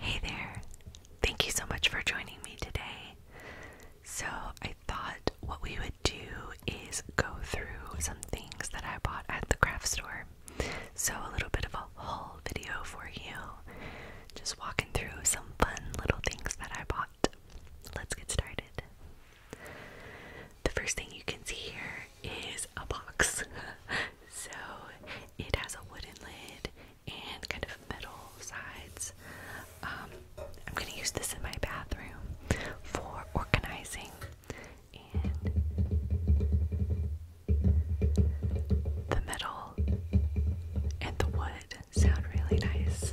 Hey there! Thank you so much for joining me today. So, I thought what we would do is go through some things that I bought at the craft store. So, a little bit of a haul video for you. Just walking through some fun little things that I bought. Let's get started. The first thing you can see here is a box. so it has a wooden lid and kind of metal sides. Um, I'm going to use this in my bathroom for organizing. And the metal and the wood sound really nice.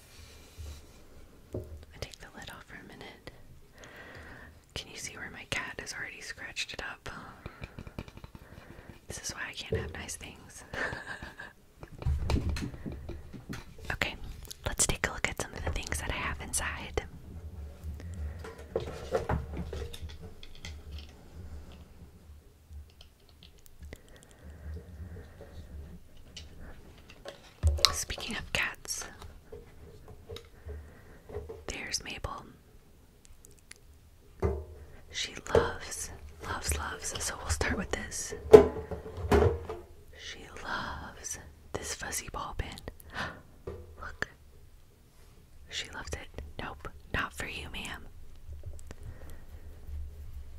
I take the lid off for a minute. Can you see where my cat has already scratched it up? This is why I can't have nice things. okay, let's take a look at some of the things that I have inside. Speaking of cats, there's Mabel. She loves, loves, loves. So we'll start with this. She loves this fuzzy ball pin. Look. She loves it. Nope, not for you, ma'am.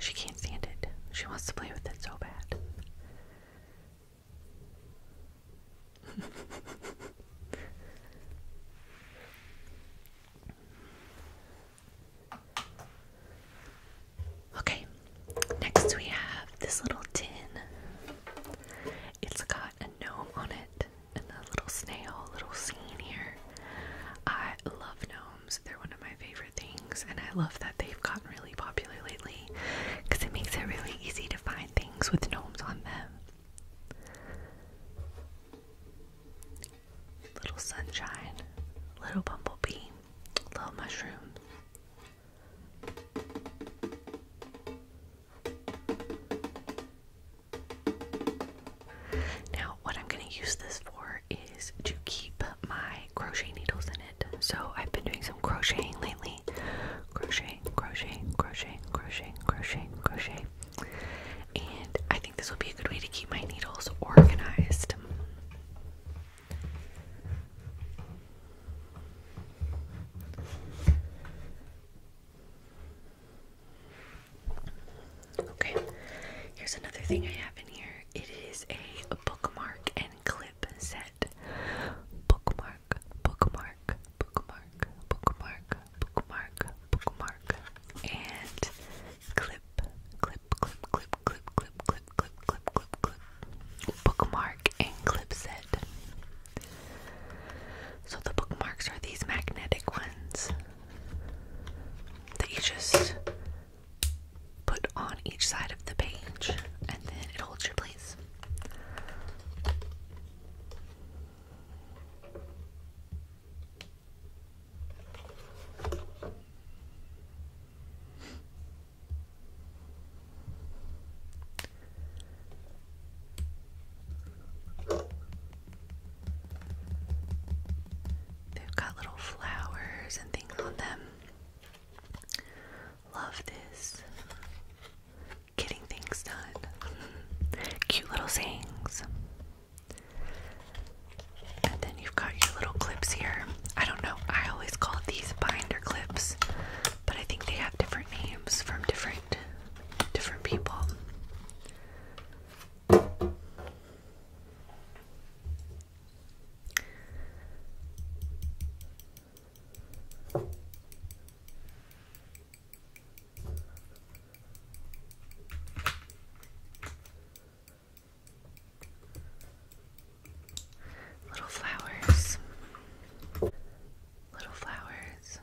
She can't stand it. She wants to play with it so bad. okay, next we have this little tin. It's got got a gnome on it and the little snail, little scene here. I love gnomes, they're one of my favorite things, and I love that they've gotten really popular lately because it makes it really easy to find things with gnomes on them. Little sunshine, little bumblebee, little mushroom, now, what I'm going to use this for is to keep my crochet needles in it. So, I've been doing some crocheting lately. Crochet, crochet, crochet, crochet, crochet, crochet. And I think this will be a good way to keep my needles organized. Okay, here's another thing I have in here. It is a bookmark and clip set. Bookmark, bookmark, bookmark, bookmark, bookmark, bookmark, and clip, clip, clip, clip, clip, clip, clip, clip, clip, clip, clip. Bookmark and clips it. So the bookmarks are these magnetic ones that you just put on each side of the page and then it holds your place. They've got little flowers and things on them. Love this. Getting things done. Cute little sayings. And then you've got your little clips here. I don't know, I always call these binder clips. But I think they have different names from different different people. Little flowers. Little flowers.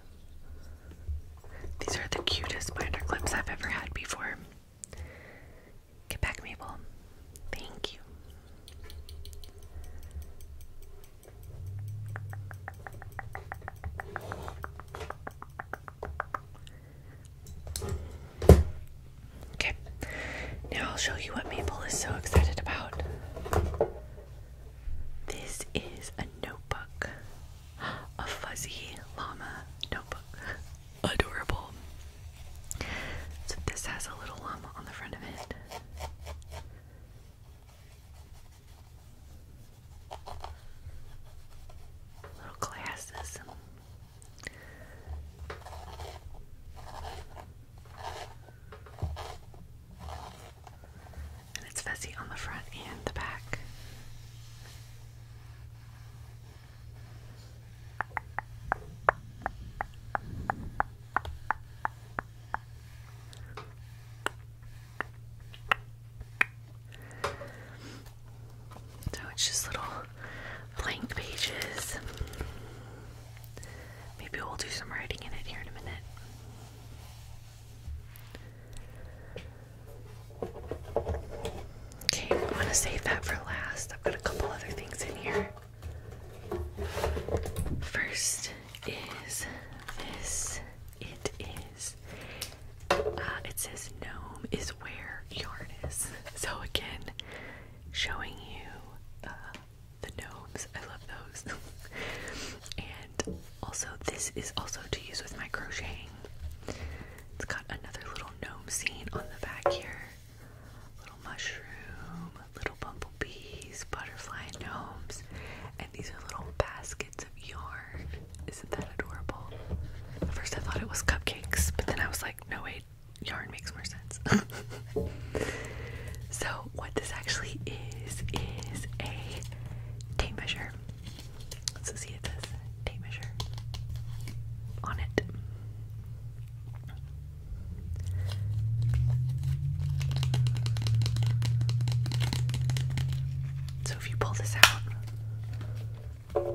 These are the cutest binder clips I've ever had before. Get back, Mabel. Thank you. Okay, now I'll show you what Maple is so excited about. This is a notebook, a fuzzy llama notebook. Adorable. So, this has a little llama on the front of it. Little glasses. And it's fuzzy on the front and the back. So it's just little blank pages. Maybe we'll do some writing in it here in a minute. Okay, I'm gonna save that for last. I've got a couple other things in here. First is this. It is. Uh, it says gnome is where yarn is. So again, showing you uh, the gnomes. I love those. and also, this is also to use with my crocheting. It's got another little gnome scene on the back here. Little mushroom, little bumblebees, butterfly, gnomes. And these are little baskets of yarn. Isn't that adorable? At first, I thought it was cupcakes, but then I was like, no, wait, yarn makes more sense. so, what this actually is is a tape measure. So, see, it says tape measure on it. So, if you pull this out,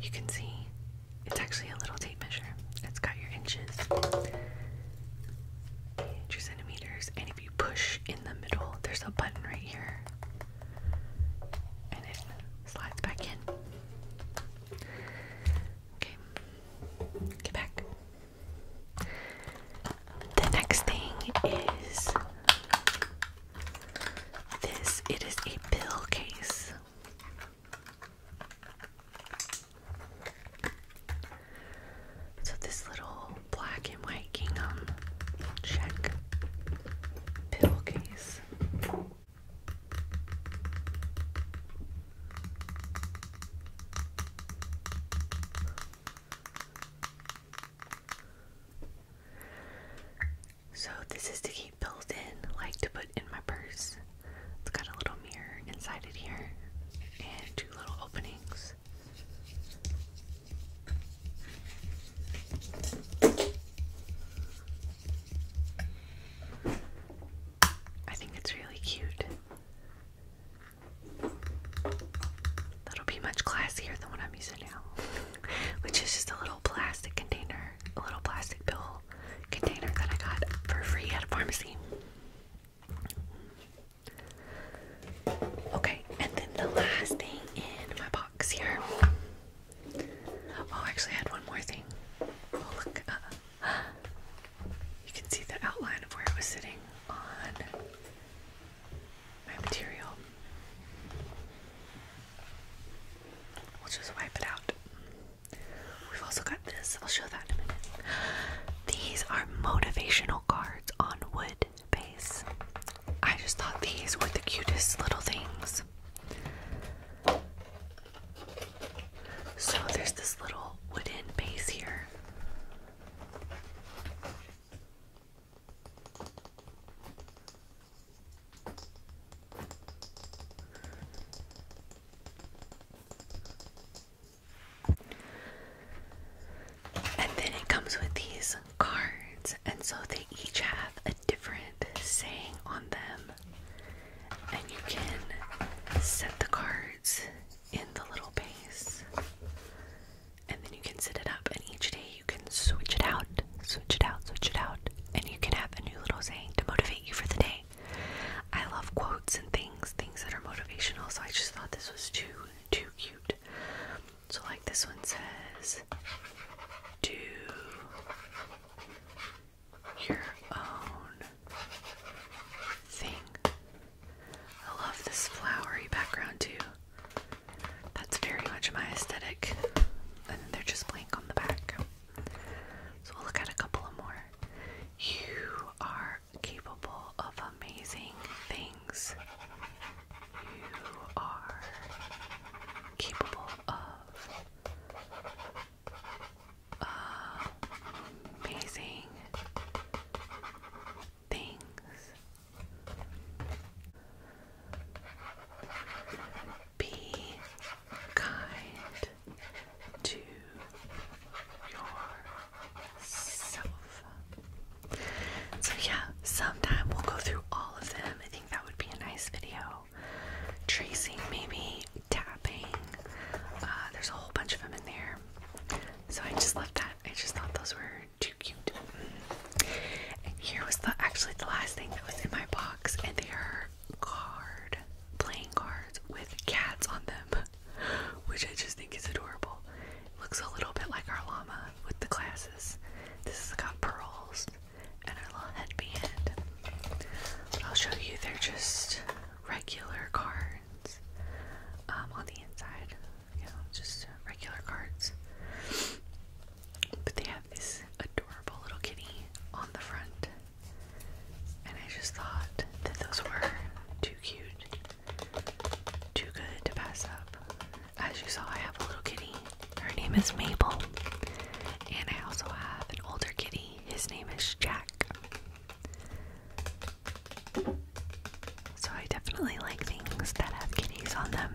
you can see it's actually a little tape measure. It's got your inches and your centimeters, and if you push in the middle, there's a button right here, and it slides back in. Okay, get back. The next thing is this. It is a pill case. So, this little black and white kingdom check pillowcase. So this is to keep bills in, like to put in my purse. It's got a little mirror inside it here and two little openings. I think it's really cute. That'll be much classier than what I'm using now, which is just a little plastic container, a little plastic bill container that I got for free at a pharmacy. Okay, and then the last thing in my box here. Oh, actually, I had one more thing. Oh, look. Uh, you can see the outline of where it was sitting on my material. We'll just wipe it out. We've also got this. I'll show that in a minute. These are motivational cards on wood base. I just thought these were the cutest little things. So there's this little wooden base here. And then it comes with these cards, and so they each have a different saying on them. And you can set the cards in the little base, and then you can set it up, and each day you can switch it out, switch it out, switch it out, and you can have a new little saying to motivate you for the day. I love quotes and things, things that are motivational, so I just thought this was too, too cute. So, like this one says, do your own thing. I love this flowery background too. That's very much my aesthetic. And they're just blank on the back. So we'll look at a couple of more. You are capable of amazing things. You are capable of amazing things. Be kind to yourself. So, yeah, sometime we'll go through all of them. I think that would be a nice video. Tracing, maybe, tapping. Uh, there's a whole bunch of them in there. So, I just love that. I just thought those were too cute. And here was the actually the last thing that was in my box, and they are card playing cards with cats on them, which I just think is adorable. looks a little bit like our llama with the glasses. This has got pearls and a little headband. But I'll show you, they're just regular cards um, on the inside. You know, just regular cards. But they have this adorable little kitty on the front. And I just thought that those were too cute, too good to pass up. As you saw, I have a little kitty. Her name is Mabel. And I also have an older kitty. His name is Jack. So I definitely like things that have kitties on them.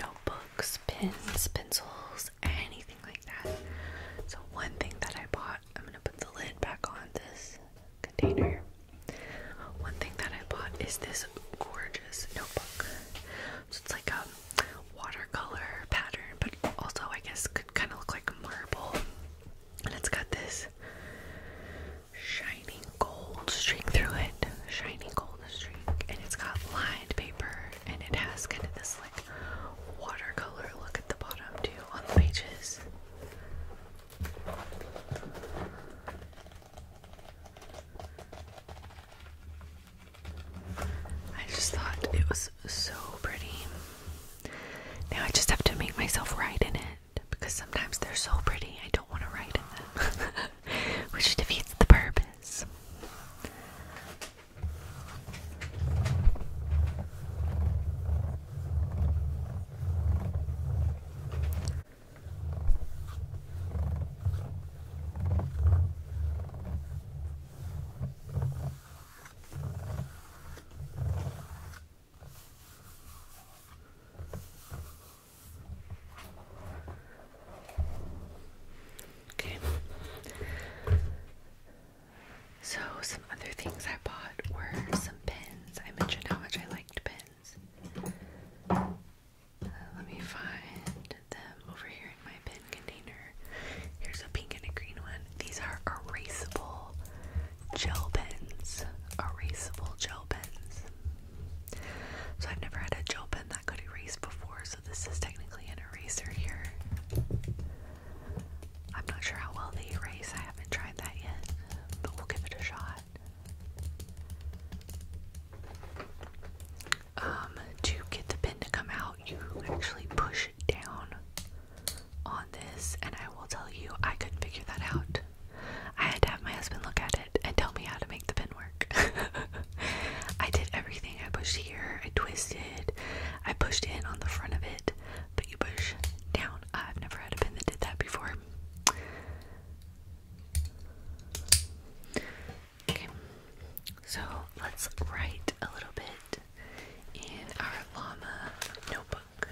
notebooks, pens, pencils, anything like that. So, one thing that I bought, I'm gonna put the lid back on this container. One thing that I bought is this gorgeous notebook. So, it's like a watercolor pattern, but also, I guess, could kind of look like marble. And it's got this shiny gold streak through it. Shiny gold streak, And it's got lined paper and it has kind of this like watercolor look at the bottom too on the pages. I just thought it was so pretty. Now I just have to make myself write in it because sometimes they're so pretty I don't want to write in them. which defeats the purpose. Okay. So, some other things I bought were some pins. I mentioned how much I liked pins. Uh, let me find them over here in my pin container. Here's a pink and a green one. These are erasable gel pens. Erasable gel pens. So I've never had a gel pen that could erase before, so this is technically an eraser here. I'm not sure how well they erase, I haven't tried that yet, but we'll give it a shot. Um, to get the pin to come out, you actually push down on this, and I will tell you, I could figure that out. I had to have my husband look at it and tell me how to make the pin work. I did everything. I pushed here, I twisted, I pushed in on the front of it, but you push down. I've never had a pin that did that before. Okay, so let's write a little bit in our llama notebook.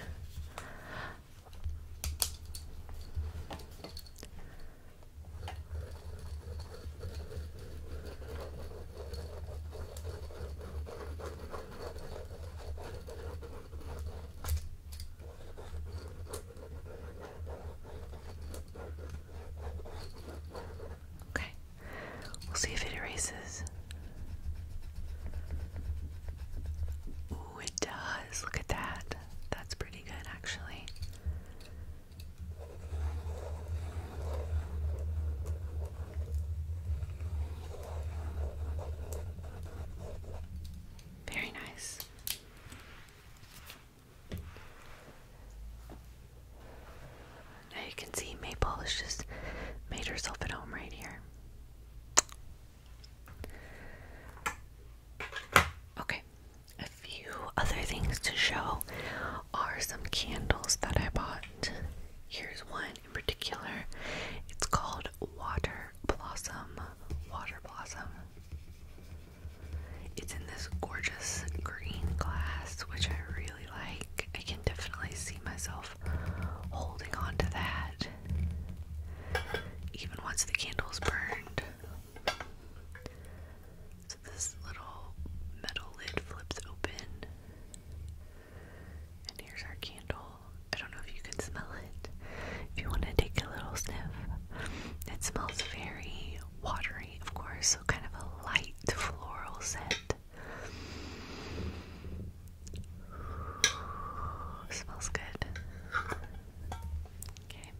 Okay, we'll see if it erases. Ooh, it does. Look at that. That's pretty good, actually. Very nice. Now you can see Maple has just made herself at home right here. Okay, a few other things to show are some candles that I bought. Here's one in particular. It's called Water Blossom. Water Blossom. It's in this gorgeous green glass, which I really like. I can definitely see myself holding on to that even once the candle's burned. So this little metal lid flips open. And here's our candle. I don't know if you can smell it. If you want to take a little sniff, it smells very watery, of course, so kind of a light floral scent. Smells good. Okay.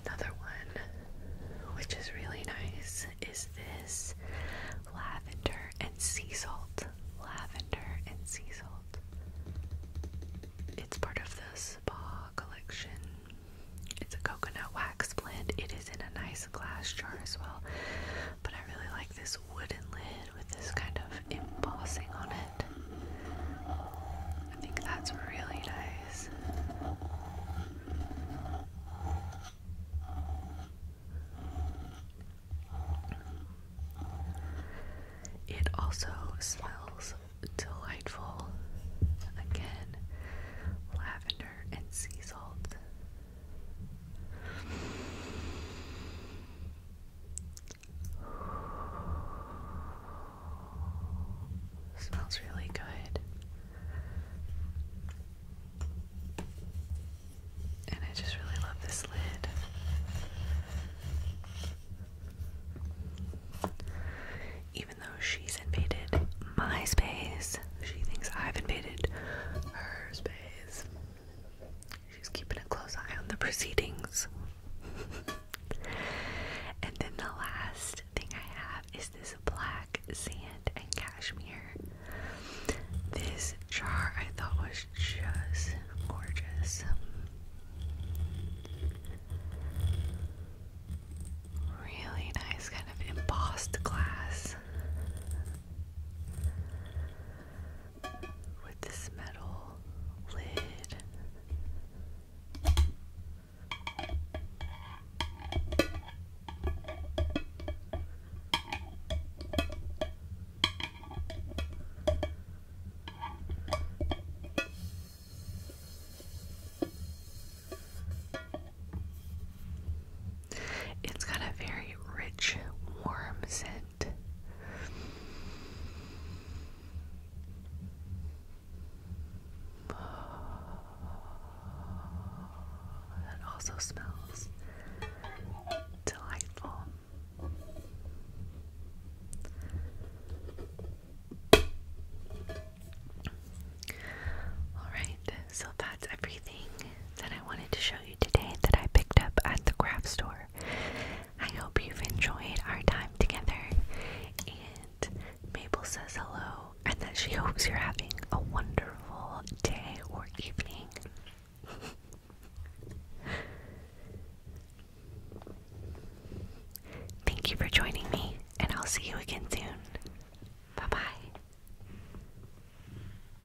Another one, which is really nice, is this lavender and sea salt. Lavender and sea salt. It's part of the spa collection. It's a coconut wax blend. It is in a nice glass jar as well. But I really like this wooden lid with this kind of embossing on it. I think that's really nice. It also smells delightful. Again, lavender and sea salt. Smells really good. And I just really love this lid. Even though she's invaded my space, she thinks I've invaded her space. She's keeping a close eye on the proceedings. and then the last thing I have is this black sand and cashmere. This jar I thought was just gorgeous. Really nice, kind of embossed glass with this metal lid. It's got a very rich, warm scent. That also smells delightful. Alright, so that's everything that I wanted to show you today that I picked up at the craft store. I hope you've enjoyed our time together. And Mabel says hello and that she hopes you're having a wonderful day or evening. Thank you for joining me, and I'll see you again soon. Bye bye.